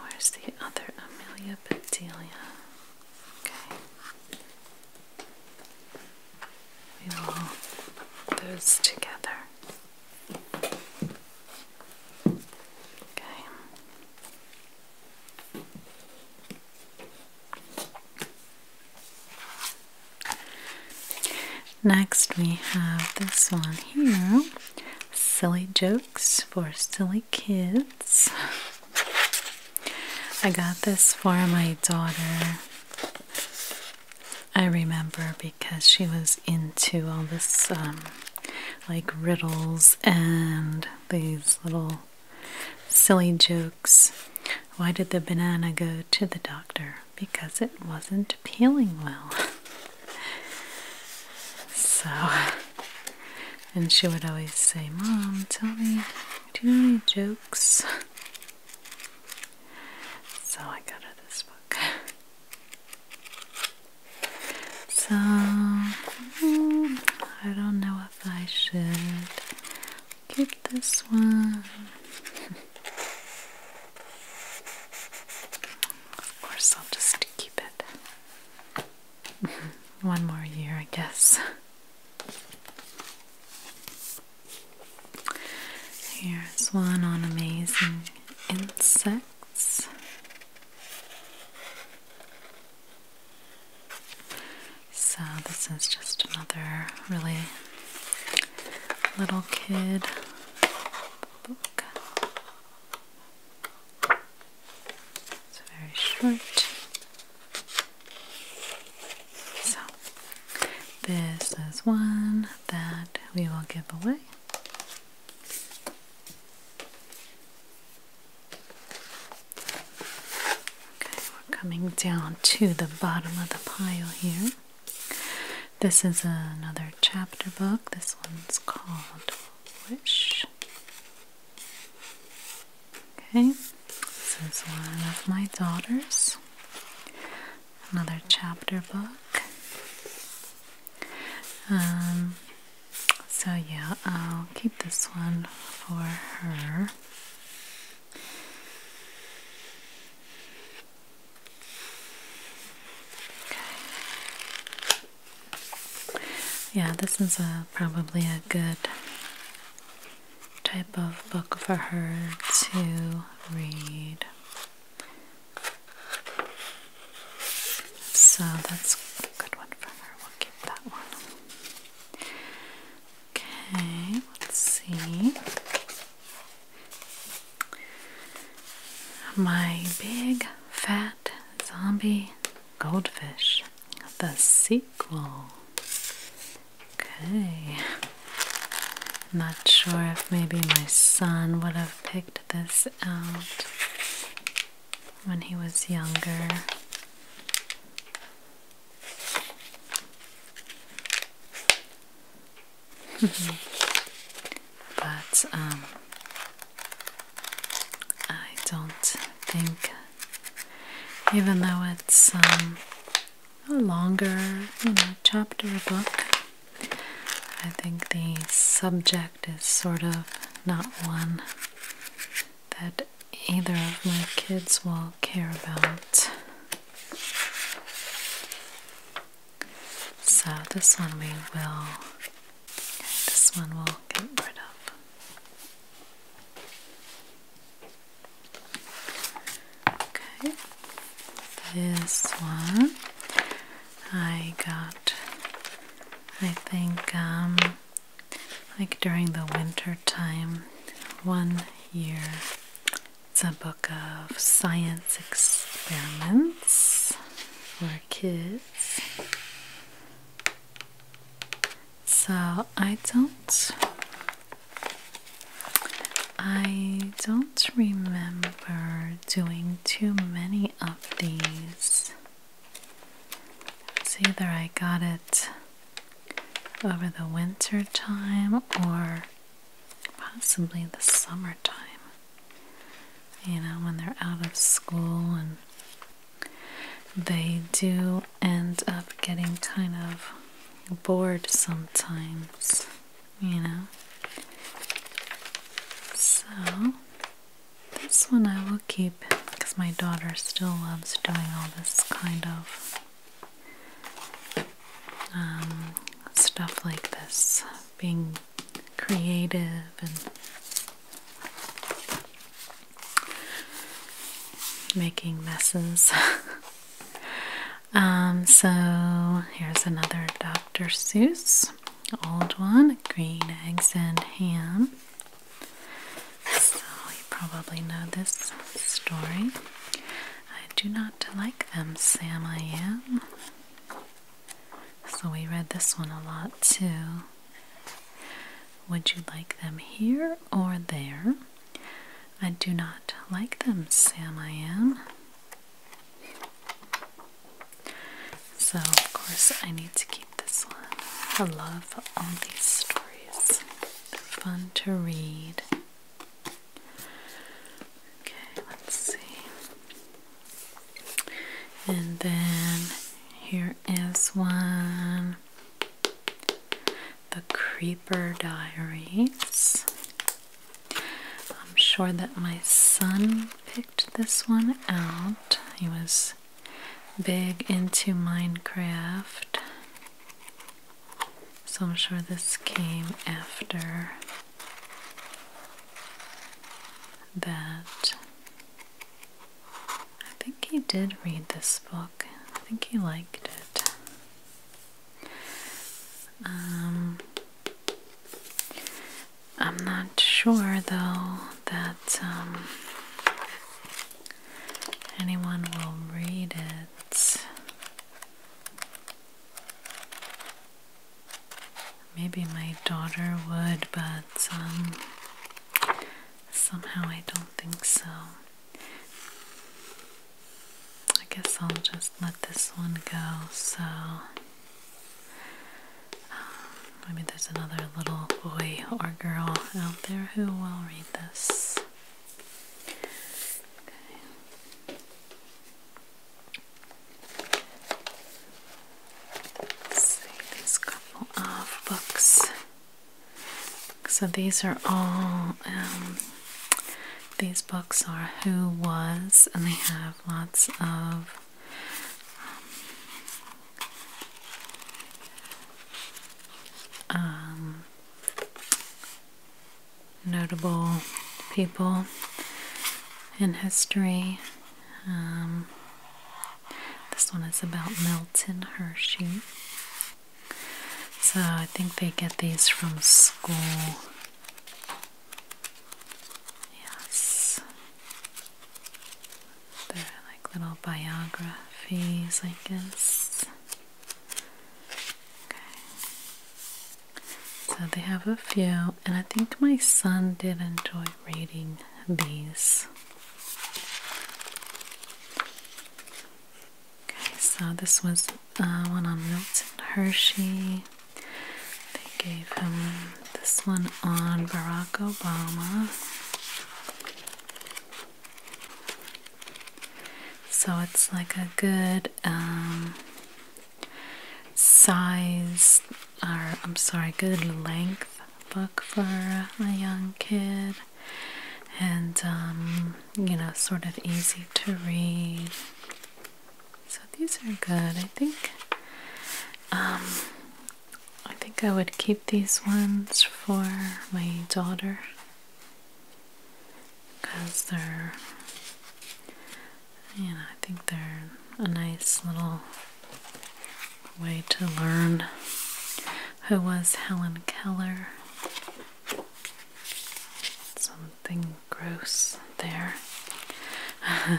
Where's the other Amelia Bedelia? Okay. We will hold those together. Okay. Next, we have this one here Silly Jokes for Silly Kids. I got this for my daughter. I remember because she was into all this, um, like riddles and these little silly jokes. Why did the banana go to the doctor? Because it wasn't peeling well. <laughs> so, and she would always say, Mom, tell me, do you know any jokes? So I got her this book. So, mm, I don't know if I should keep this one. Of course, I'll just keep it <laughs> one more year, I guess. Here's one on amazing insects. So, this is just another really little kid book. It's very short. So, this is one that we will give away. Okay, we're coming down to the bottom of the pile here. This is another chapter book. This one's called Wish. Okay, this is one of my daughters. Another chapter book. Um, so, yeah, I'll keep this one for her. Yeah, this is a, uh, probably a good type of book for her to read. So that's a good one for her. We'll keep that one. Okay, let's see. My big fat zombie goldfish, the sequel. Okay. Not sure if maybe my son would have picked this out when he was younger. <laughs> but um, I don't think, even though it's um, a longer, chapter book, I think the subject is sort of not one that either of my kids will care about. So this one we will, this one we'll get rid of. Okay, this one I got, I think, um, like during the winter time, one year. It's a book of science experiments for kids. So I don't I don't remember doing too many of these. See, either I got it over the winter time or possibly the summertime you know, when they're out of school and they do end up getting kind of bored sometimes, you know. So, this one I will keep because my daughter still loves doing all this kind of um, stuff like this being creative and making messes. <laughs> Um, so here's another Dr. Seuss, old one, green eggs and ham. So you probably know this story. I do not like them, Sam I am. So we read this one a lot too. Would you like them here or there? I do not like them, Sam. I am. So, of course, I need to keep this one. I love all these stories, they're fun to read. Okay, let's see and then here is one the creeper diaries i'm sure that my son picked this one out he was big into minecraft so i'm sure this came after that I think he did read this book. I think he liked it. Um, I'm not sure though that um, anyone will read it. Maybe my daughter would, but um, somehow I don't think so. I guess I'll just let this one go. So um, maybe there's another little boy or girl out there who will read this see these couple of books. So these are all, um, these books are Who Was, and they have lots of um, um, notable people in history um, this one is about Milton Hershey. So I think they get these from school. Yes. They're like little biographies, I guess. Okay. So they have a few, and I think my son did enjoy reading these. Okay, so this was uh, one on Milton Hershey. They gave him this one on Barack Obama. So it's like a good um, size or I'm sorry, good length book for a young kid, and um, you know, sort of easy to read. So these are good. I think. Um, I think I would keep these ones for my daughter because they're, you I think they're a nice little way to learn who was Helen Keller. Something gross there. <laughs>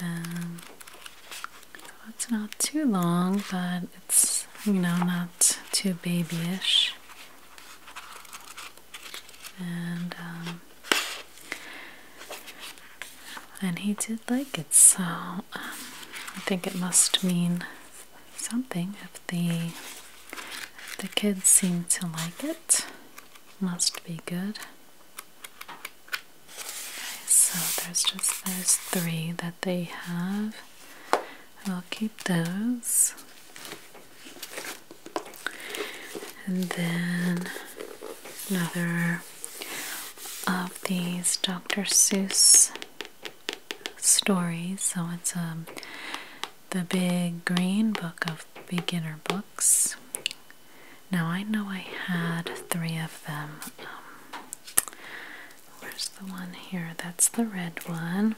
um, it's not too long, but it's, you know, not too babyish. And, um, and he just like it, so um, I think it must mean something if the the kids seem to like it. Must be good. so there's just those three that they have. I'll keep those. And then another of these Dr. Seuss stories. So it's um, the big green book of beginner books. Now I know I had three of them. Um, where's the one here? That's the red one.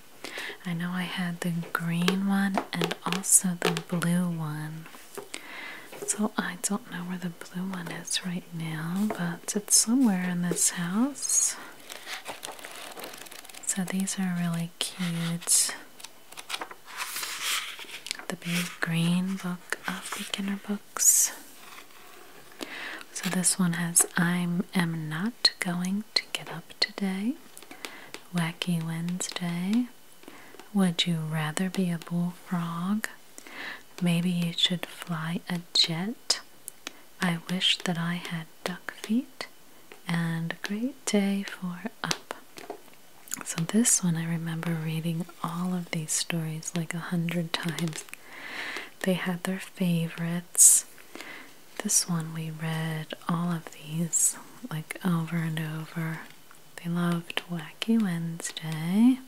I know I had the green one and also the blue one. So I don't know where the blue one is right now, but it's somewhere in this house. So these are really cute. The big green book of beginner books. So this one has I'm not going to get up today. Wacky Wednesday. Would you rather be a bullfrog? Maybe you should fly a jet. I wish that I had duck feet. And a great day for up. So, this one I remember reading all of these stories like a hundred times. They had their favorites. This one we read all of these like over and over. They loved Wacky Wednesday.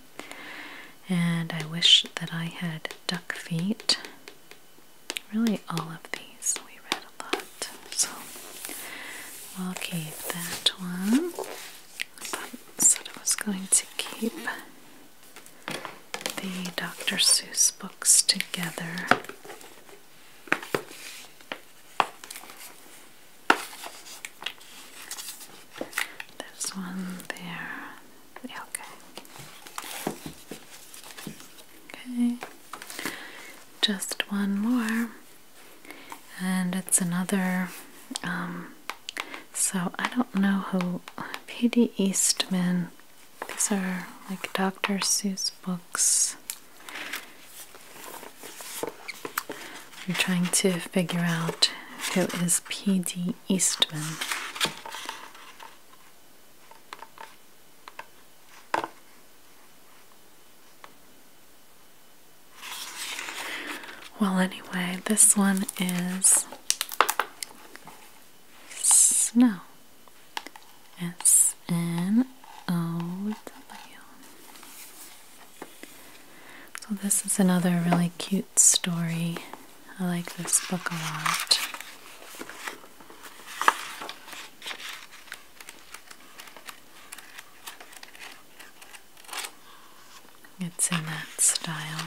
And I wish that I had duck feet. Really, all of these we read a lot. So we'll keep that one. I said I was going to keep the Dr. Seuss books together. There's one there. okay. Okay. Just one more. And it's another. Um, so I don't know who. P.D. Eastman. These are like Dr. Seuss books. You're trying to figure out who is P.D. Eastman. Well, anyway, this one is snow. S N O W. So, this is another really cute story. I like this book a lot. It's in that style.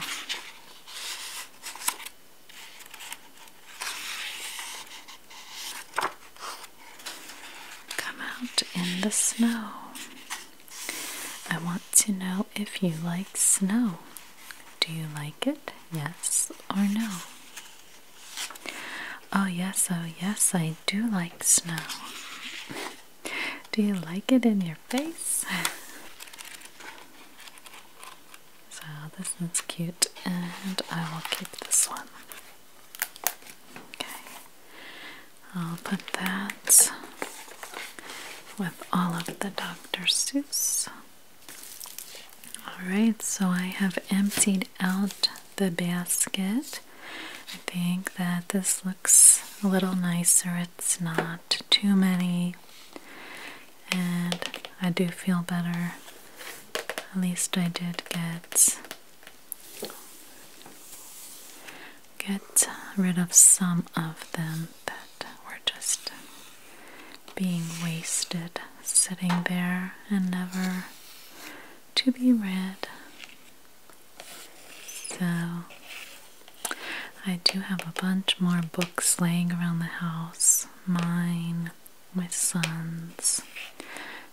Come out in the snow. I want to know if you like snow. Do you like it? Yes or no? Oh, yes, oh, yes, I do like snow. do you like it in your face? so, this one's cute, and I will keep this one. Okay. I'll put that with all of the Dr. Seuss. Alright, so I have emptied out the basket. I think that this looks a little nicer. It's not too many. And I do feel better. At least I did get get rid of some of them that were just being wasted, sitting there and never to be read. So, I do have a bunch more books laying around the house, mine, my son's.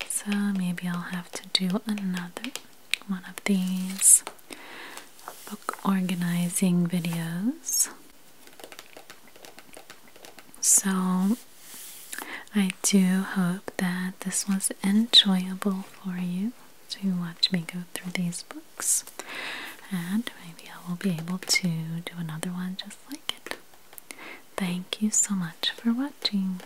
So, maybe I'll have to do another one of these book organizing videos. So, I do hope that this was enjoyable for you to watch me go through these books, and maybe I will be able to do another one just like it. Thank you so much for watching.